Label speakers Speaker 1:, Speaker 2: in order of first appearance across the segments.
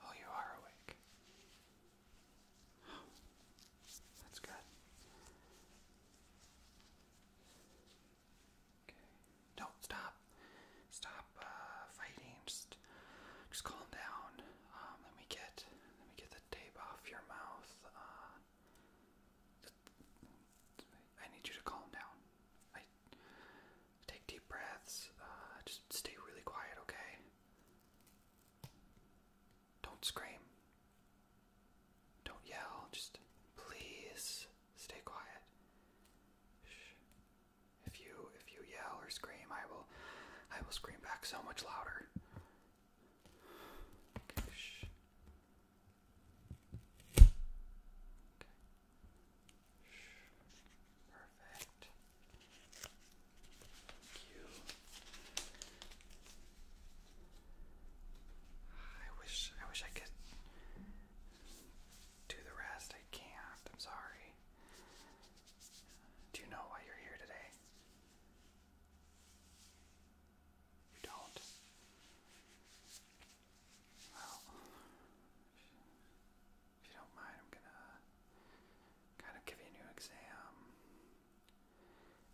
Speaker 1: Oh, you are awake. that's good. Okay. Don't stop. Stop uh, fighting. Just, just calm down. Um, let me get, let me get the tape off your mouth. Uh, I need you to calm down. take deep breaths. Uh, just stay really quiet, okay? Don't scream. Don't yell. Just please stay quiet. If you if you yell or scream, I will I will scream back so much louder. I wish I wish I could do the rest. I can't. I'm sorry. Do you know why you're here today? You don't. Well, if you don't mind, I'm gonna kind of give you a new exam.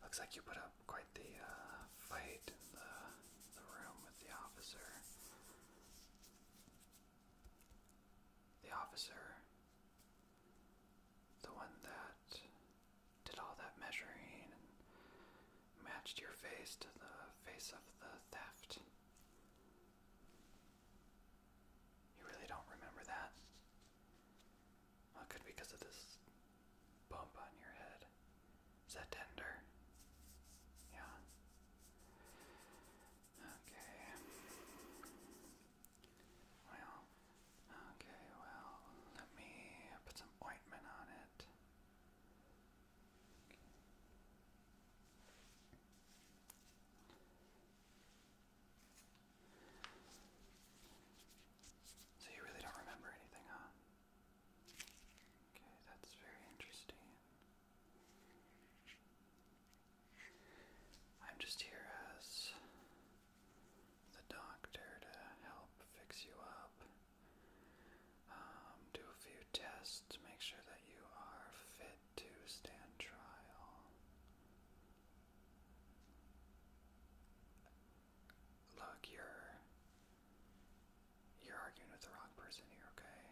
Speaker 1: Looks like you put up quite the uh, fight in the, the room with the officer. The officer the one that did all that measuring and matched your face to the face of the theft. You really don't remember that? Well, it because of this bump on your head. Is that tender? Yeah. Okay. Well, Okay, well, let me put some ointment on it. So you really don't remember anything, huh? Okay, that's very interesting. I'm just here as the doctor to help fix you up, um, do a few tests make sure that you are fit to stand trial. Look, you're you're arguing with the wrong person here, okay?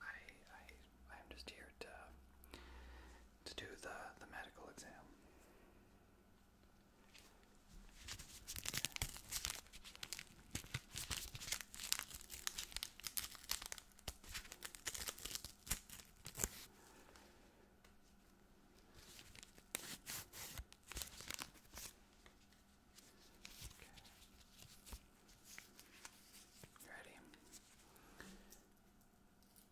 Speaker 1: I I I'm just here to to do the, the medical exam. Ready? Okay. Good.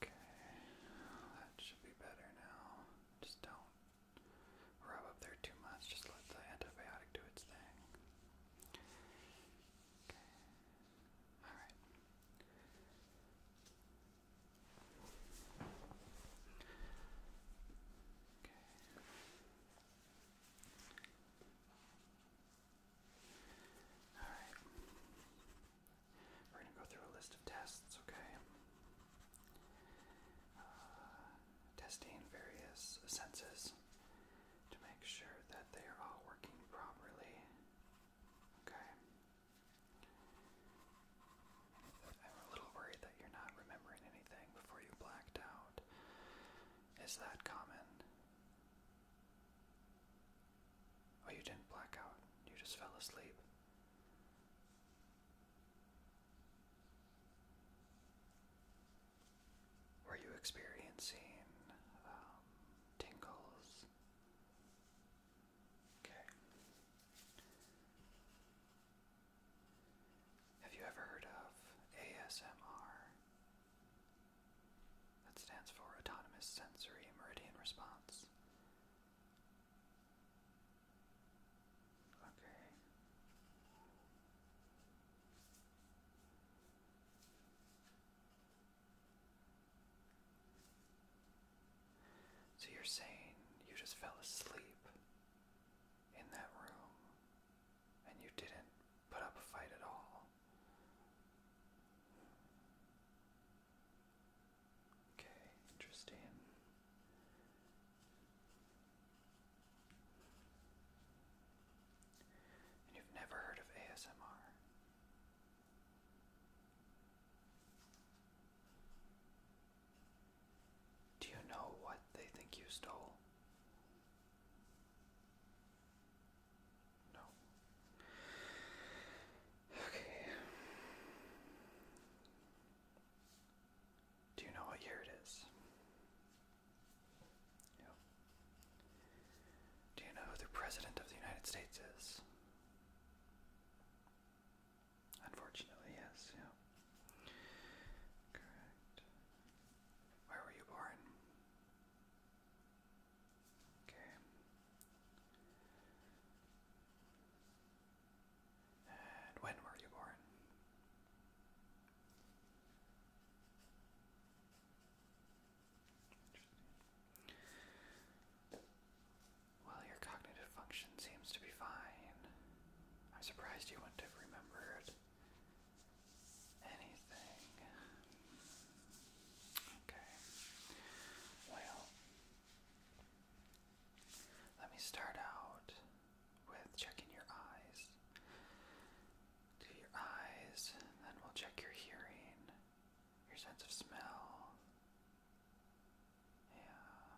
Speaker 1: Okay. That should be better now. Just don't rub up there too much. Just let the antibiotic do its thing. All right. Okay. All right. We're going to go through a list of tests, okay? Uh, testing various senses to make sure that they are all working properly. Okay. I'm a little worried that you're not remembering anything before you blacked out. Is that common? Oh, you didn't black out. You just fell asleep. Were you experiencing um, tingles? Okay. Have you ever heard of ASMR? That stands for Autonomous Sensory Meridian Response. Okay. So you're saying you just fell asleep in that room and you didn't put up a fight at all? Okay, interesting. And you've never heard of ASMR. Do you know what they think you stole? No. Okay. Do you know what year it is? Do you know who the President of the United States is? Unfortunately, yes, yeah. Correct. Where were you born? Okay. And when were you born? Well, your cognitive function seems to be fine. I'm surprised you wouldn't have remembered anything. Okay. Well, let me start out with checking your eyes to your eyes, and then we'll check your hearing, your sense of smell, yeah,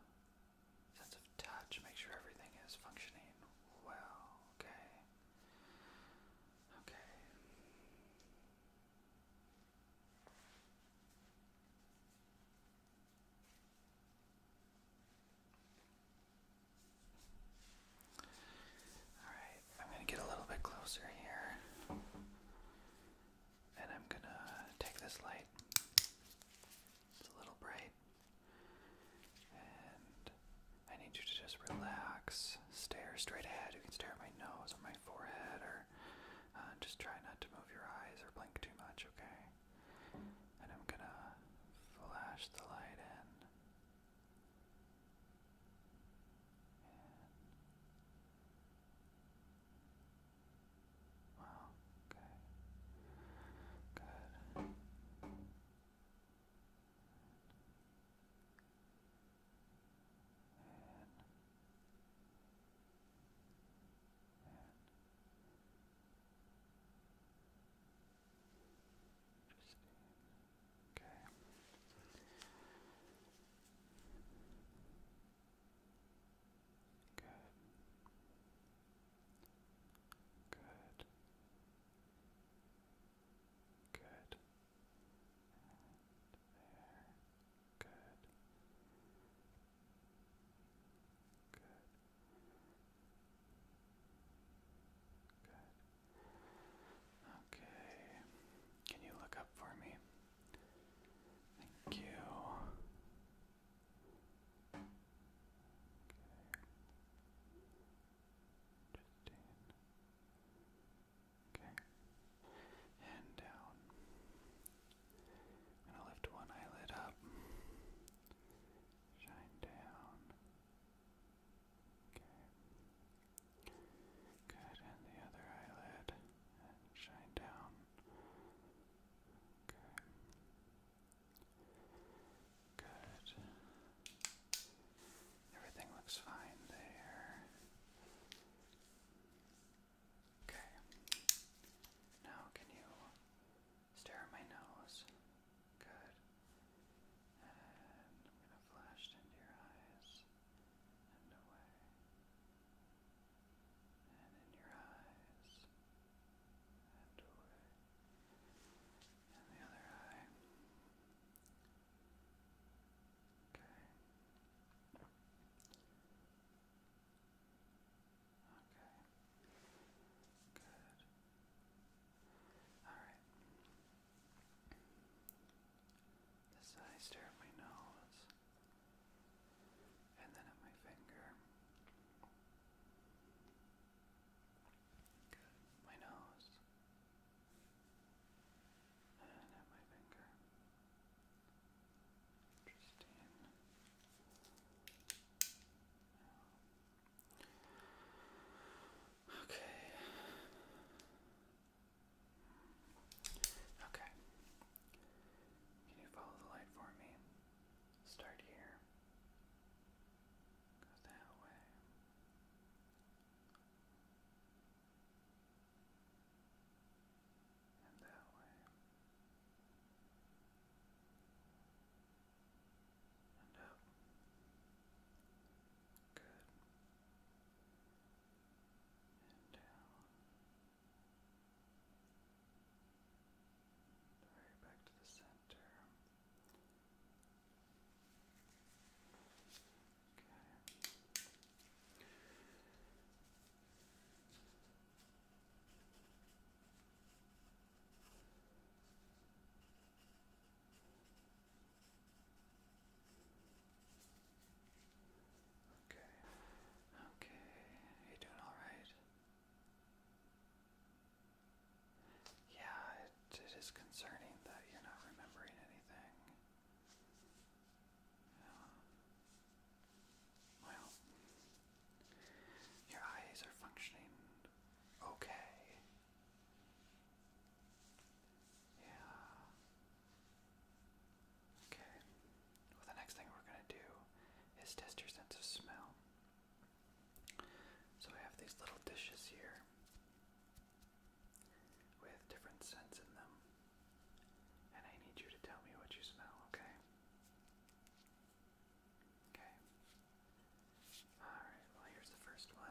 Speaker 1: sense of touch, make sure everything is functioning well, okay? Okay. Alright, I'm going to get a little bit closer here. And I'm going to take this light. It's a little bright. And I need you to just relax, stare straight ahead. You can stare at my nose or my forehead or uh, just try not to move your eyes or blink too much, okay? And I'm going to flash the light in. And wow, okay. Good. And and 15. Okay. Good. Good. Good. And there. Good. Good. Good. Okay. Can you look up for me? Thank you. Okay. Justine. Okay. And down. I'm gonna lift one eyelid up. Shine down. Okay. Good, and the other eyelid, shine down. Okay. Good. Everything looks fine there. Okay. Now, can you stare at my nose. Good. And I'm going to flash into your eyes and away. And in your eyes and away. And the other eye. Okay. Okay. Good. Alright. This eye stare at my nose. And then at my finger. Good. My nose. And at my finger. Interesting. Okay. Okay. Can you follow the light for me? Start here. Go that way. And that way and up. Good. And down. Right back to the center. Okay. Good. Okay. Okay. You doing all right? Yeah, it, it is concerning that you're not remembering anything. Well, your eyes are functioning okay. Yeah. Okay. Well, the next thing we're going to do is test your sense of smell. So I have these little dishes here with different scents in them. And I need you to tell me what you smell, okay? Okay. Alright, well, here's the first one.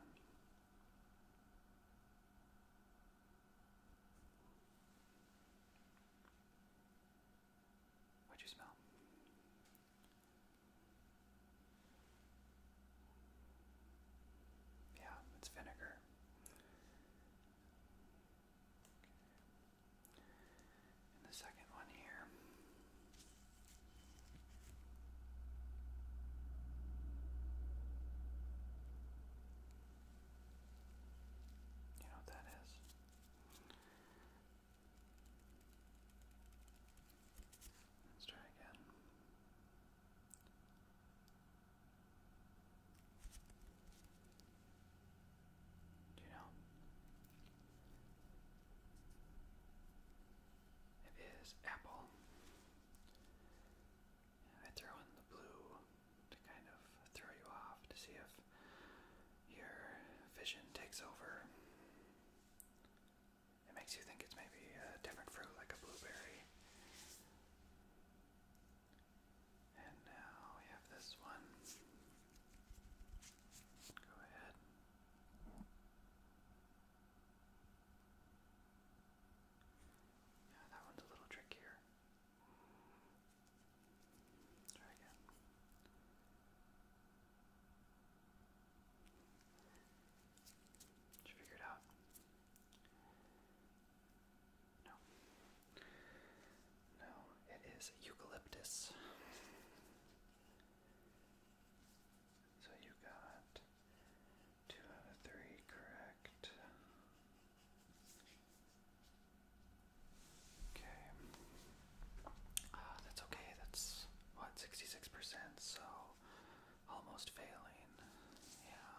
Speaker 1: What'd you smell? Yeah, it's vinegar and the second one here. You know what that is? Let's try again. Do you know? It is apple. I throw in the blue to kind of throw you off to see if your vision takes over. It makes you think it's maybe a different fruit, like a blueberry. And now we have this one. Go ahead yeah, that one's a little trickier. try again. Did you figure it out? No. No, it is eucalyptus. So you got two out of three correct. Okay. Uh, that's okay. That's what, 66%, so almost failing. Yeah.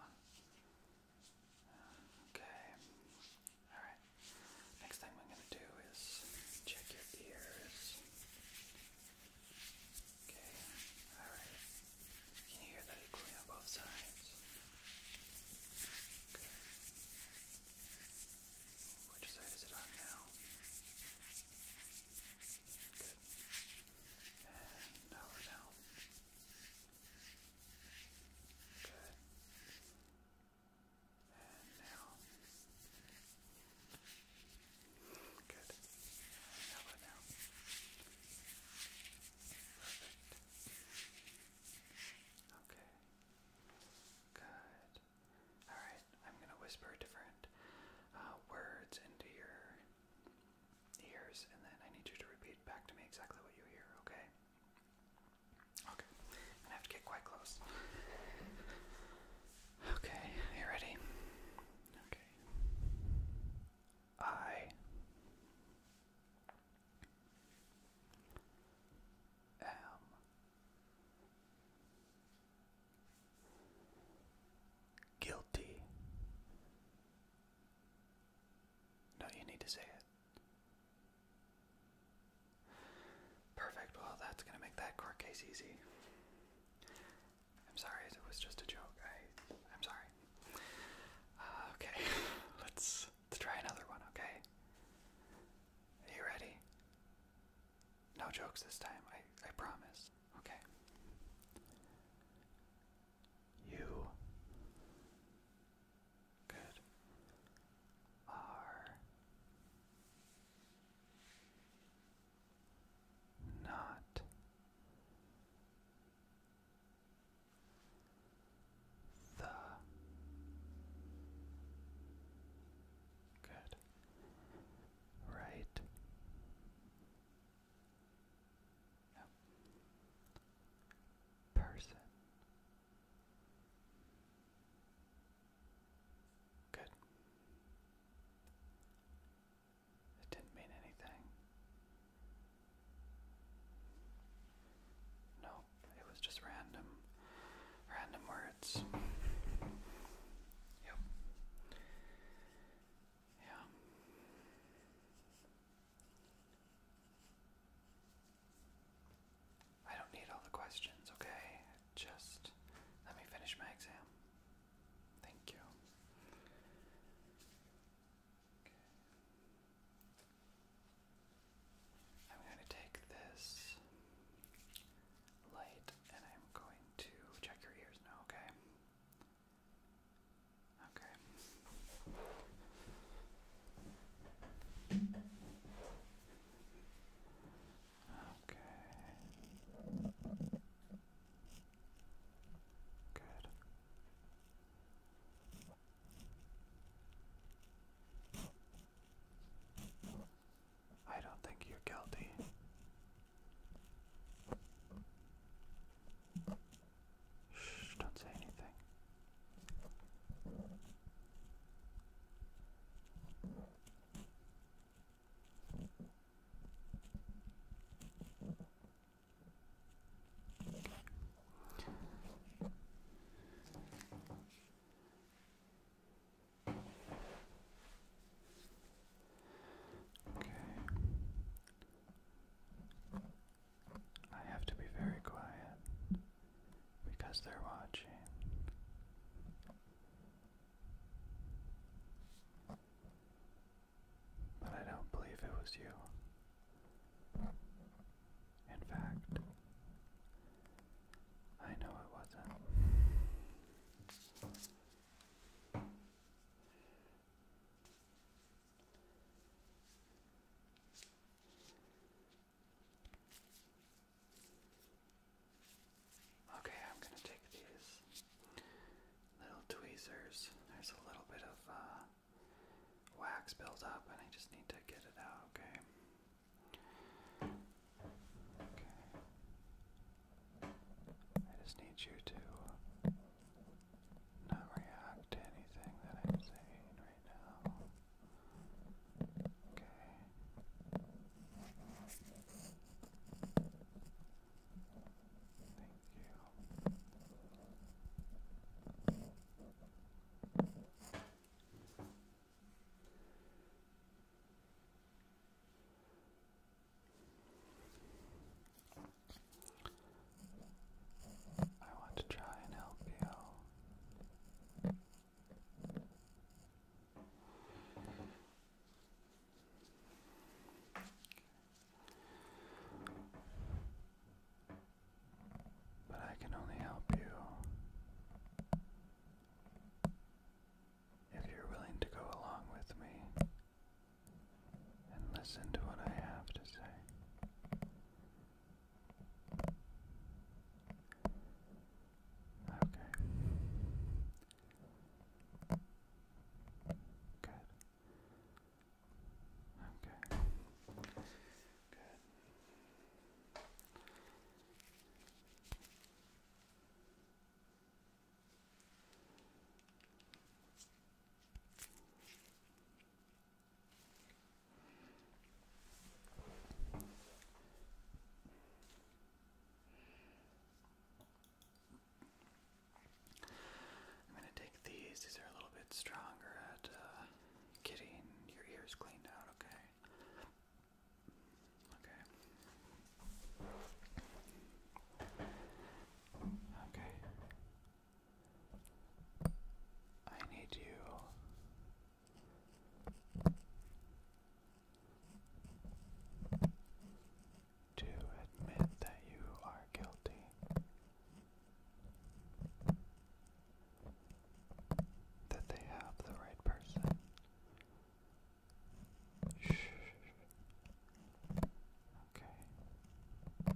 Speaker 1: Okay. Alright. Next thing I'm going to do is check your ears. Okay, alright. Can you hear that equally on both sides? Okay. Which side is it on now? Good. And now we're down. Good. And now. Good. How about now? Perfect. Okay. Good. Alright, I'm going to whisper different uh, words into your ears, and then I need you to repeat back to me exactly what you hear, okay? Okay. I have to get quite close. Okay, you ready? I am guilty. No, you need to say it. Perfect. Well, that's going to make that court case easy. I'm sorry, it was just a joke. I, I'm sorry. Uh, okay, let's, let's try another one, okay? Are you ready? No jokes this time, I, I promise. Okay. You. Good. Are not the good right person Good. It didn't mean anything. No, it was just random, random words. Yep. Yeah. I don't need all the questions, okay? Just let me finish my exam. Thank you. I'm going to take this light and I'm going to check your ears now, okay? Okay. Okay. Good. I don't think you're guilty. Shh, don't say anything. Okay. Okay. I have to be very quiet because they're watching. But I don't believe it was you. In fact, I know it wasn't. Okay, I'm gonna take these little tweezers. There's a little bit of uh, wax built up, and I just need to get it out, okay? Okay. I just need you to not react to anything that I'm saying right now. Thank you. I want to try and help you. But I can only help you if you're willing to go along with me and listen to what I have to say. Okay. Good. Okay. Good. I'm going to take these. These are a little bit stronger at uh, getting your ears cleaned out, okay? Okay. Okay. I need you to admit that you are guilty. That they have the right person. Okay.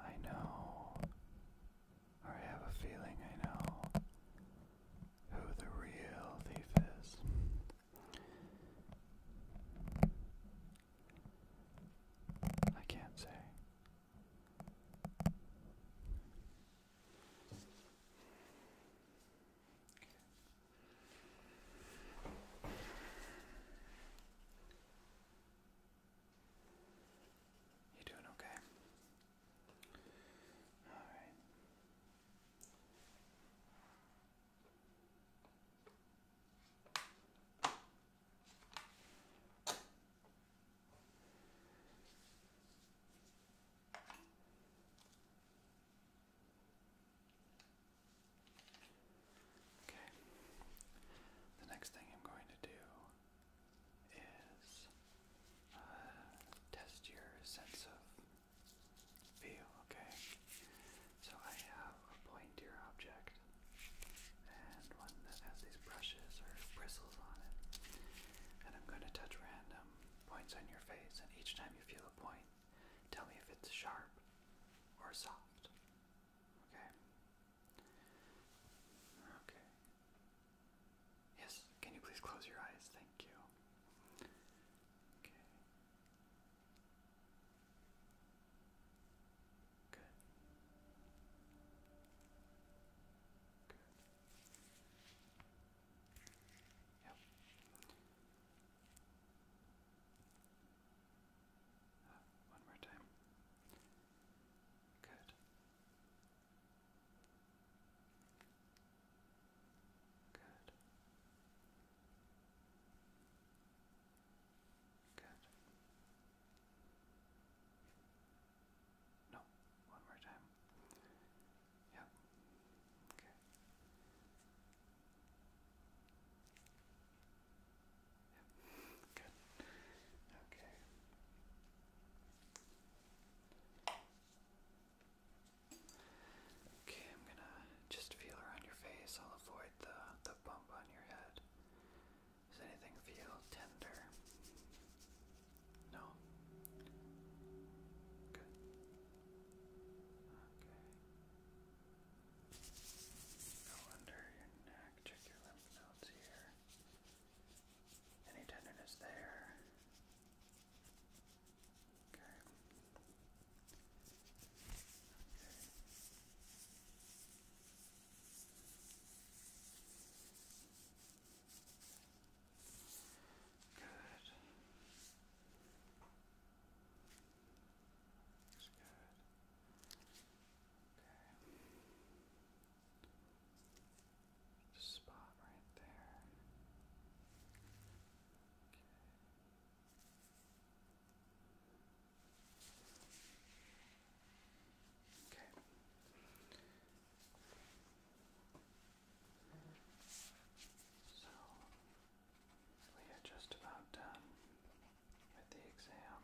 Speaker 1: I know, I have a feeling I know who the real thief is. I can't say. You're doing okay. All right. Okay. The next thing I'm going to do is uh, test your sense of feel, okay? So I have a pointier object and one that has these brushes or bristles on it. And I'm going to touch random points on your face, and each time you feel a point, tell me if it's sharp or soft. Okay? Okay. Yes, can you please close your eyes? Thank you. Okay. Good. Yep. Uh, one more time. Good. Good. Good. No, one more time. Yep. Okay. Good. Okay. Okay, I'm gonna just feel around your face. I'll avoid the the bump on your head. Does anything feel tender? No. Good. Okay. Go under your neck, check your lymph nodes here. Any tenderness there? Okay. Okay. Good. Looks good. Okay. Just spot right there. Okay. Okay. So we are just about done with the exam.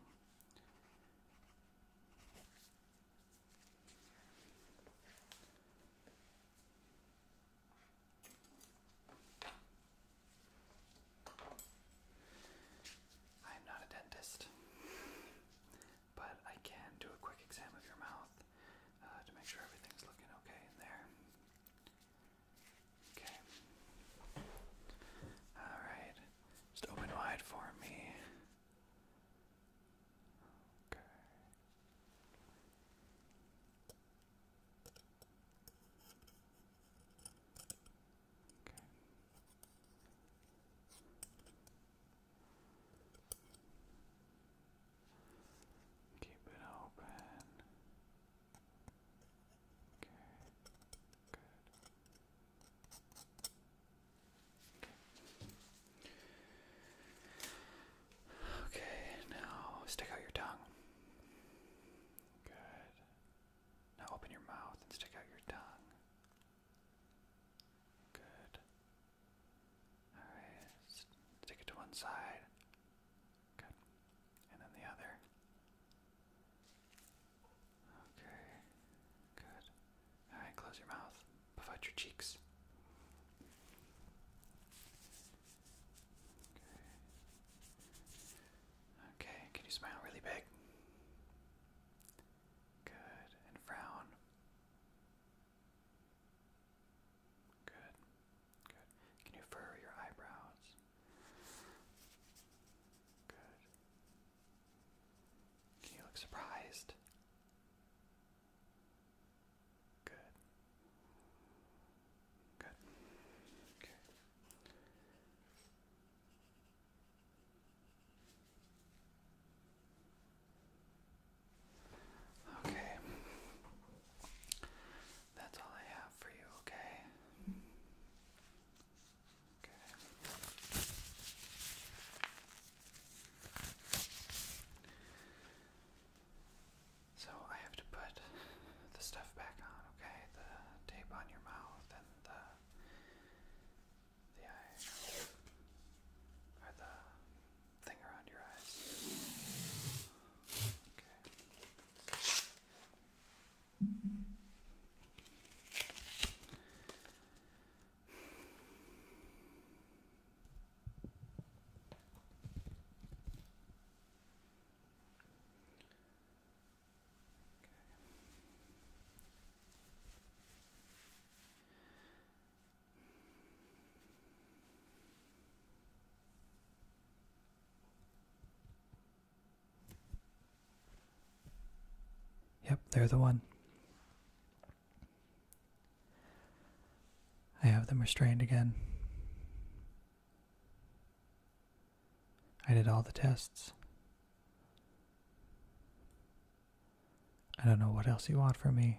Speaker 1: I am not a dentist but I can do a quick exam of your mouth uh, to make sure everything's looking okay in there. Okay. Alright. Just open wide for me. Okay. Okay. Keep it open. Okay, good. Okay. now stick out your tongue. Good. Now open your mouth and stick out your tongue. Good. Alright, stick it to one side. Good. And then the other. Okay, good. Alright, close your mouth. Puff out your cheeks. Okay. Okay, can you smile really big? Good. And frown. Good. Good. Can you furrow your eyebrows? Good. Can you look surprised? Good. Good. Okay. Okay. That's all I have for you, okay? Okay. So I have to put the stuff back on, okay? The tape on your mouth and the the eye or the thing around your eyes. Okay. Okay. Yep, they're the one. I have them restrained again. I did all the tests. I don't know what else you want from me.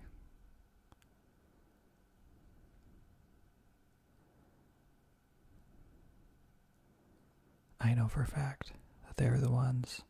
Speaker 1: I know for a fact that they're the ones.